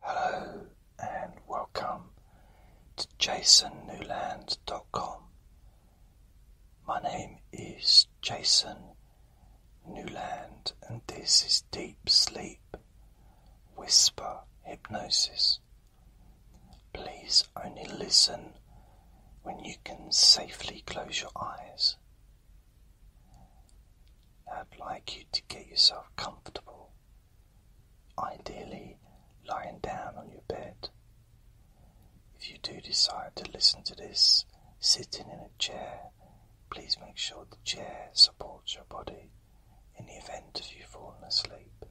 Hello and welcome to jasonnewland.com. My name is Jason Newland and this is Deep Sleep Whisper Hypnosis. Please only listen when you can safely close your eyes. I'd like you to get yourself comfortable ideally lying down on your bed. If you do decide to listen to this sitting in a chair, please make sure the chair supports your body in the event of you falling asleep.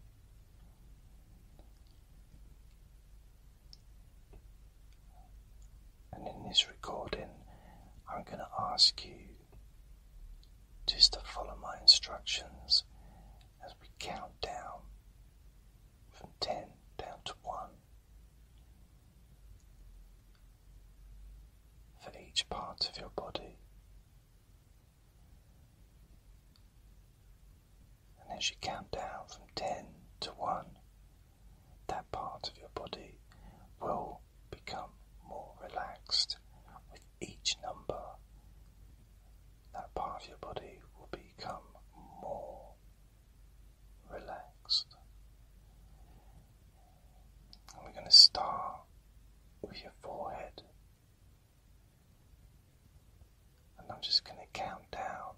And in this recording, I'm going to ask you just to follow my instructions as we count down from 10 down to 1 for each part of your body. And as you count down from 10 to 1, that part of your body will become more relaxed with each number. That part of your body will become more relaxed. And we're going to start with your forehead. And I'm just going to count down.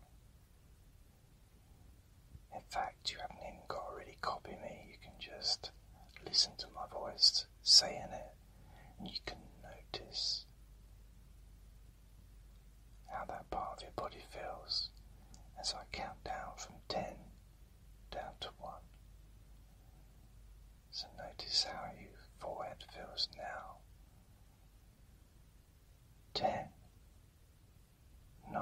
In fact, you haven't even got to really copy me, you can just listen to my voice saying it, and you can notice how that part of your body feels as I count down from 10 down to 1. So notice how your forehead feels now. 10, 9,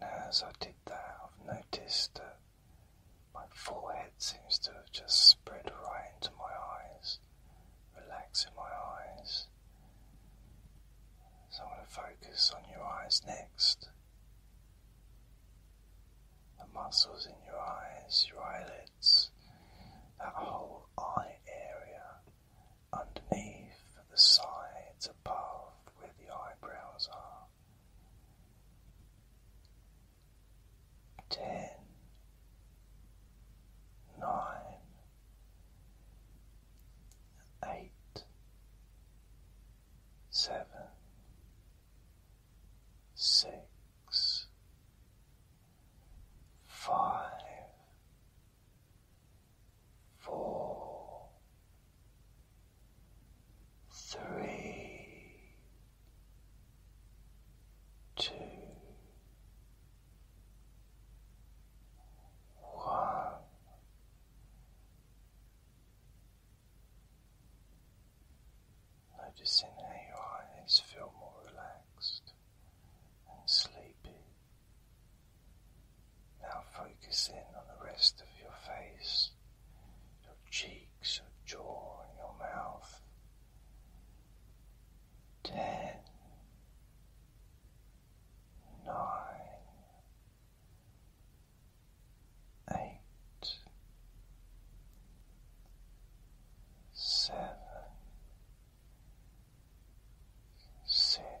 Now, as I did that, I've noticed that my forehead seems to have just spread right into my eyes, relaxing my eyes. So I'm going to focus on your eyes next. The muscles in your eyes, your eyelids, that whole eye area underneath, the sides, above where the eyebrows are. Ten, nine, eight, seven, six, five, four, three, two, one. Noticing how your eyes feel more relaxed and sleepy. Now focus in on the rest of your face, your cheeks, your jaw, and your mouth. Ten, nine, eight, seven, six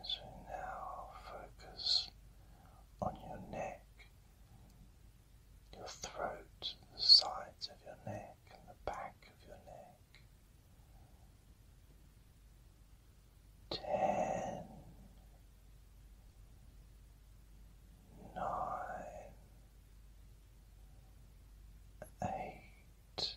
As now focus on your neck, your throat, the sides of your neck, and the back of your neck. Ten, nine, eight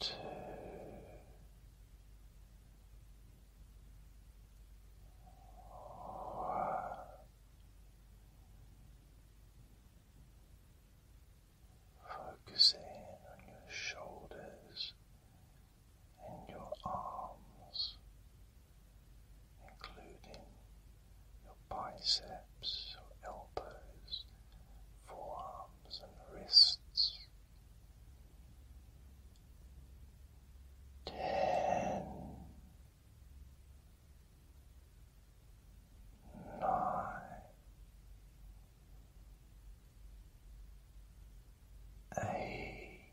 Two. Focusing on your shoulders and your arms, including your biceps, your elbows, forearms, and wrists. Ten, nine, eight,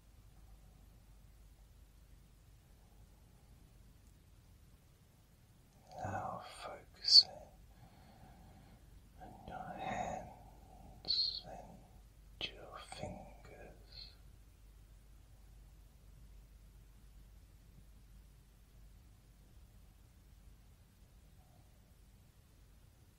Now focusing on your hands and your fingers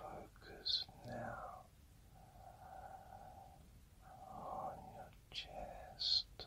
Focus now on your chest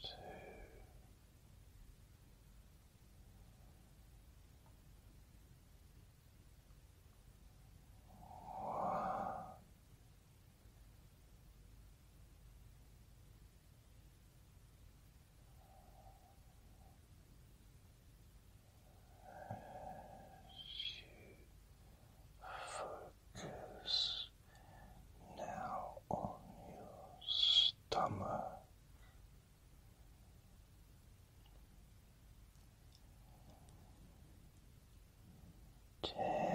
two, one. As you focus now on your stomach. Ten.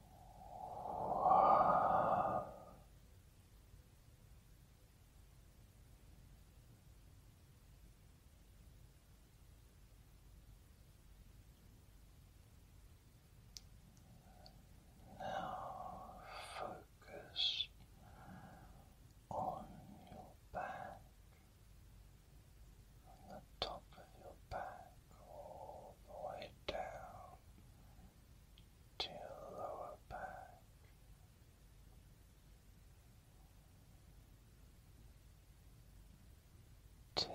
Now focus on your back, on the top of your back all the way down to lower back. Ten.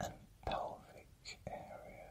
and pelvic area.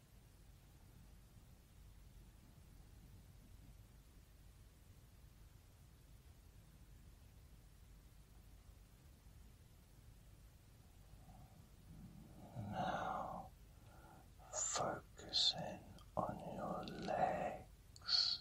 Now focusing on your legs.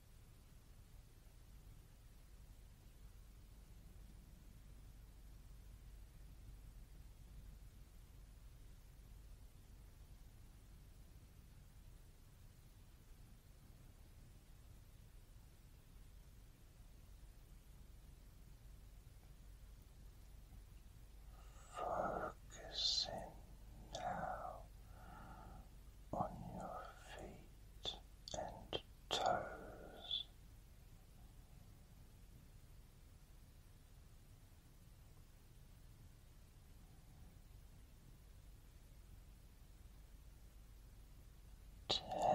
Focusing now on your feet and toes. Ten.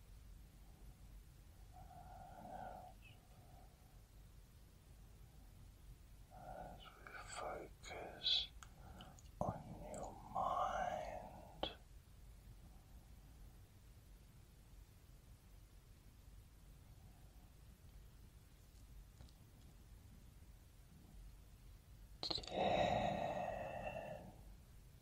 As we focus on your mind. Ten